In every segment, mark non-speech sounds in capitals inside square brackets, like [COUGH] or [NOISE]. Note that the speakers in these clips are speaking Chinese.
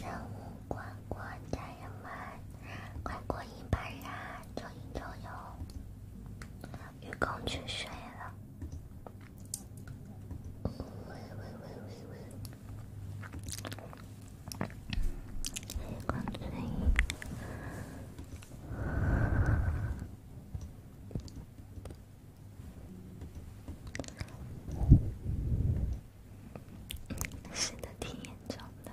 任务关关，家人们，快过瘾吧！呀，充一充油，雨公去睡了。喂喂喂喂喂，雨公睡。是的，挺严重的。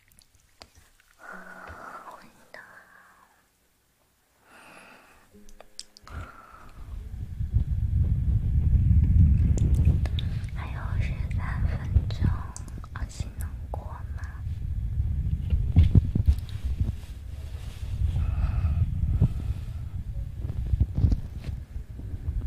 还有十三分钟，阿西能过吗？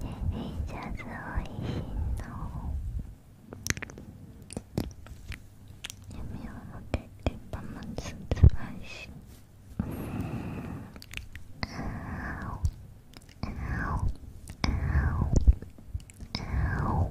你一下子好恶心哦！你没有对对方满足开心？啊哦啊哦啊哦啊哦！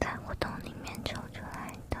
在活动里面抽出来的。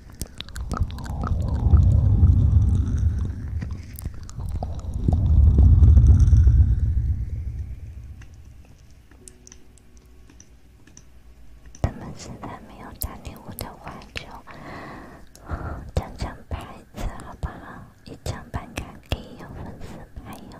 他们现在没有打礼物的话，就抢抢牌子好不好？一张板卡可以用粉丝牌用。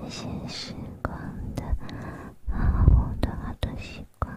这些时光的，好多好多习惯。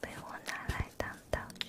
被我拿来当道具。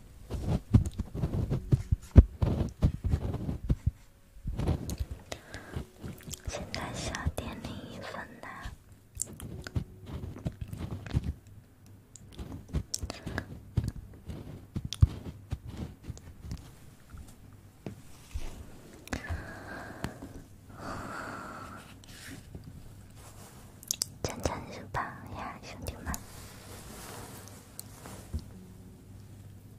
现在需要点零一分呐！真真是棒呀，兄弟们！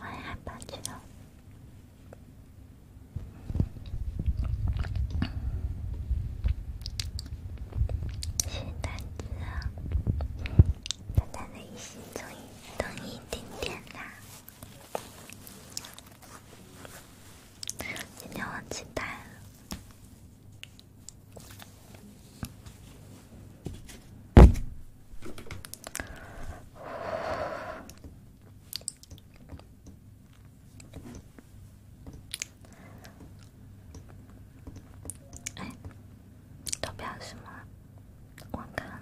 我也害怕去了。心胆子啊，他的心终于动一丁点啦！今天忘记带了。投票什么？我看。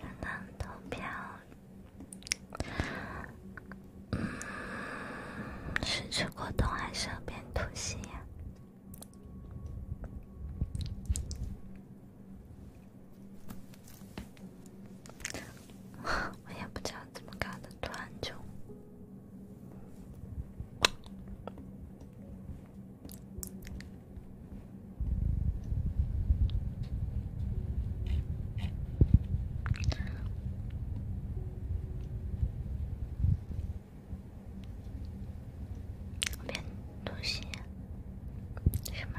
等等投票。是吃果冻还是要变吐息呀？[LAUGHS] 我也不知道怎么搞的，突然就。我变东西，什么？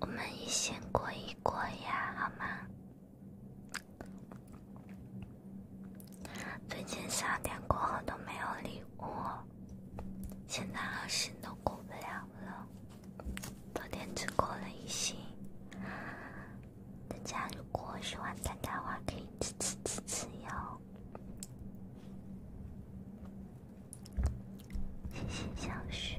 我们一星过一过呀，好吗？最近十二点过后都没有礼物，现在二星都过不了了，昨天只过了一星。大家如果喜欢参加的话，可以支持支持哟。谢谢小雪。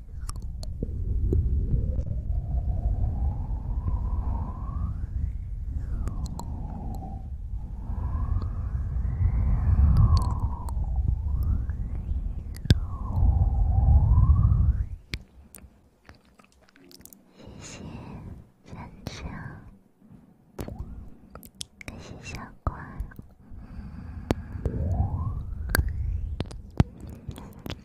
谢谢分享，感谢小怪，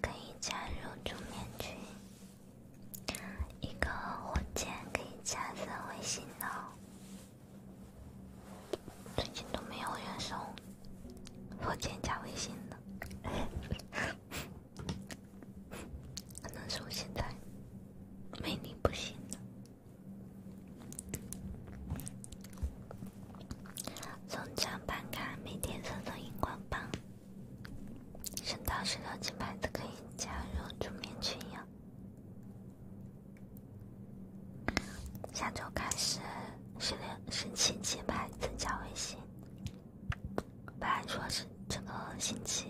可以加入助眠群，一个火箭可以加个微信哦。最近都没有人送火箭加微信的，可能是我现在魅力不行了。从账班看，每天收到荧光棒。升到十六级牌子可以加入助眠群呀。下周开始十六十七级牌子加微信。本来说是这个星期，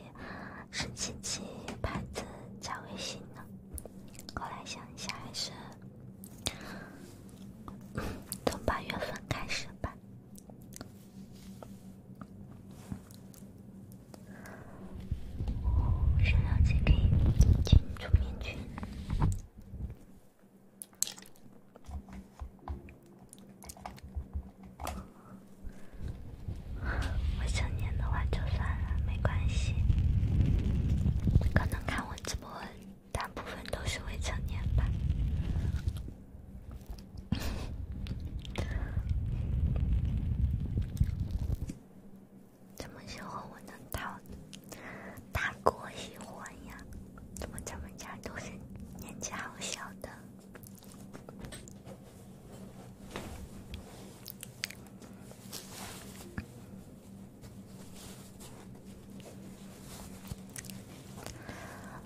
十七级牌子加微信呢，后来想一下还是 [LAUGHS] 从八月份开始吧。我需要再看清楚点去。未成年的话就算了，没关系。可能看我直播，大部分都是未成年吧。怎么喜欢我呢，大大哥喜欢呀？怎么咱们家都是年纪好小的？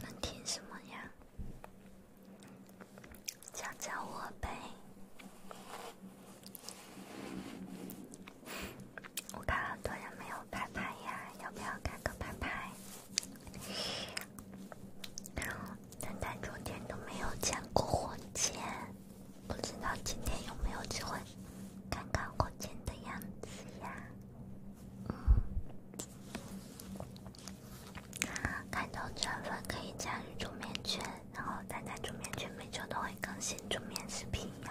能听什么呀？教教我呗！我看很多人没有牌牌呀，要不要开个牌牌？但但昨天都没有见过火箭，不知道今天有没有机会看看火箭的样子呀？嗯，看到成粉可以加入助眠圈。然后，大家煮面群每周都会更新煮面视频哟。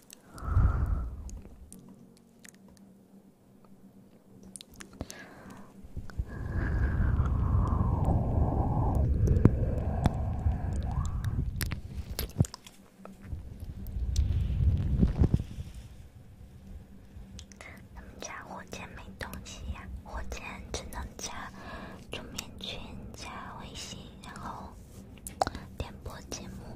咱们家火箭没东西呀，火箭只能加桌面群、加微信，然后点播节目。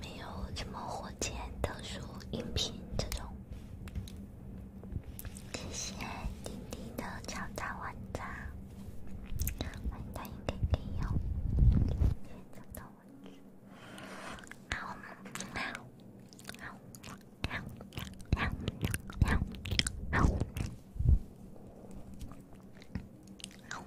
没有什么火箭、特殊音频这种。谢谢丁丁的敲诈玩家，玩家应该可以用。好，我们喵喵喵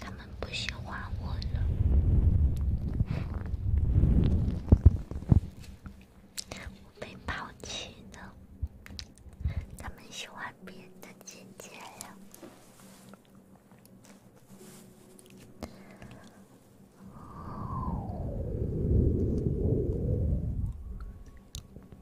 他们不喜欢我了，我被抛弃了，他们喜欢别的姐姐了。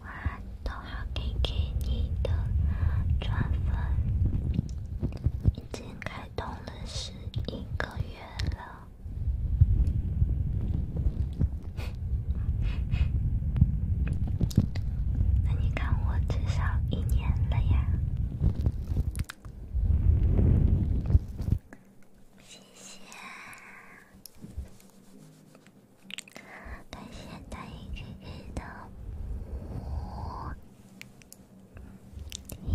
我都还给给你的转粉，已经开通了十一个月了。[LAUGHS] 那你看我至少一年了呀。谢谢，感谢大家给的鼓励。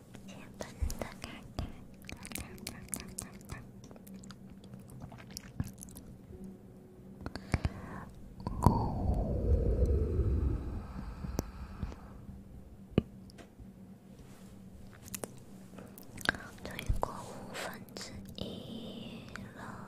七分的看看，看看，看看看。终于过五分之一了。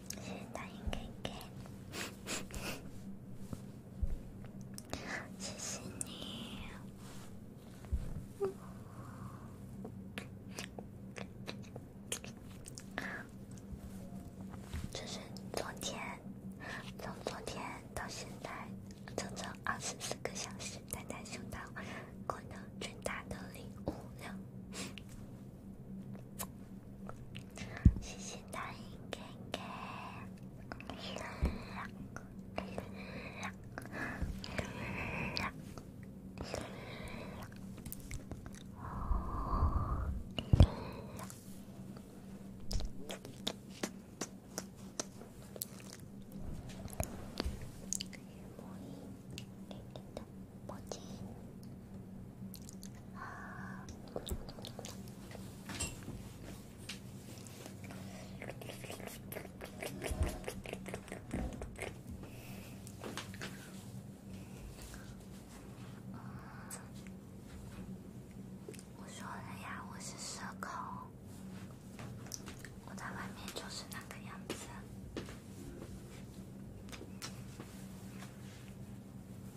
谢谢大英哥哥，谢谢你。这是昨天，从昨天到现在，整整二十四个小时，大家收到过的最大的礼物了。谢谢大姨给给。我说了呀，我是社恐，我在外面就是那个样子。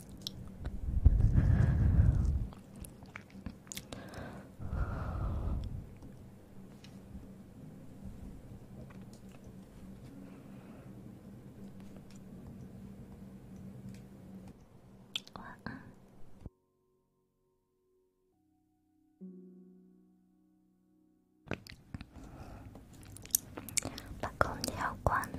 晚安。把空调关了。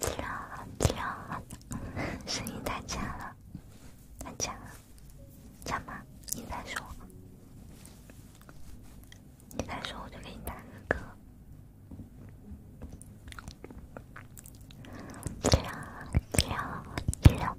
听到了，听到了，声音太强了，太强了，强吗？你再说，你再说，我就给你打个歌。听到了，听到了，听到了。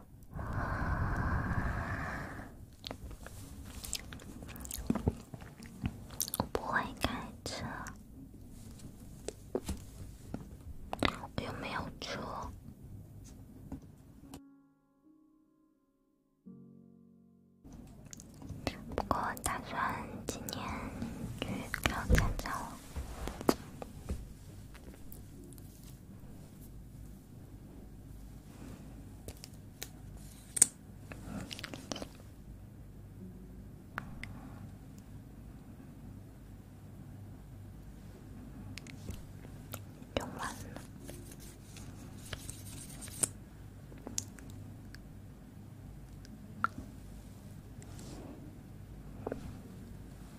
我不会开车，又没有车。不过，打算今年去考驾照。用完了。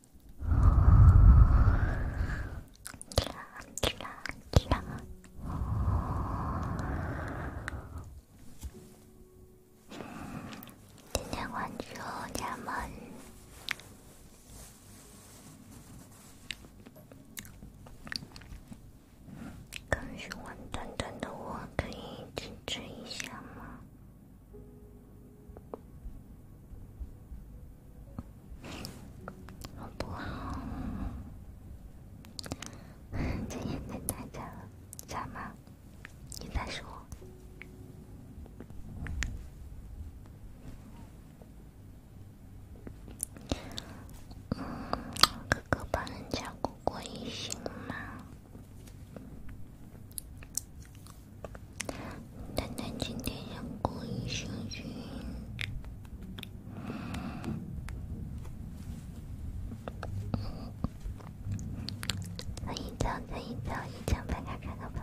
点亮点亮点亮！今天关注家人们更喜欢短短的，我可以支持一下吗？好不好？这眼睛太假了，假吗？你再说。嗯，哥哥帮人家过过夜行吗？丹丹今天想过一生军，我一张，再一张，一张，看看看，好不好？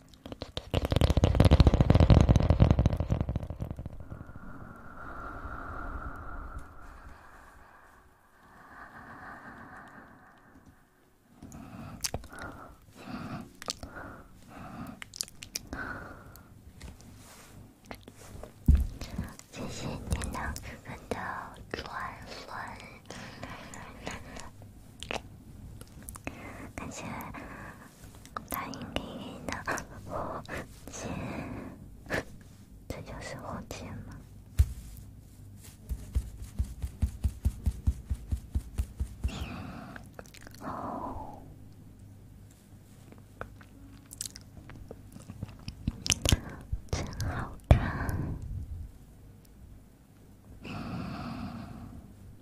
谢谢你呢，的转粉，感谢。答应给你的火箭，这就是火箭吗？哦，真好看。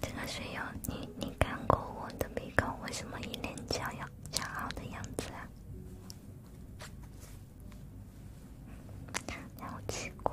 这个水友，你你看过我的鼻孔，为什么一脸骄傲骄傲的样子啊？好奇怪。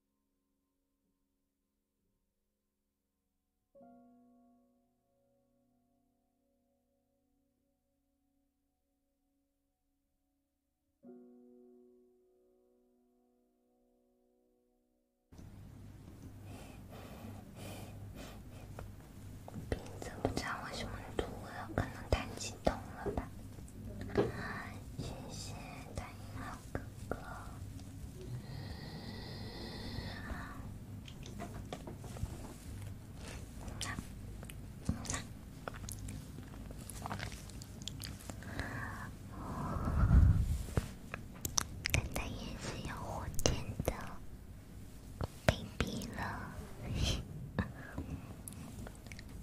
鼻子不知道为什么堵了，可能太激动了吧。谢谢，大姨好。哥哥，那那我奶奶也是有火箭的，卑鄙了。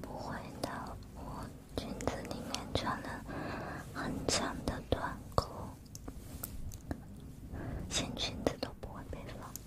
不会的，我裙子里面穿了很长的短裤，连裙子都不会被发现。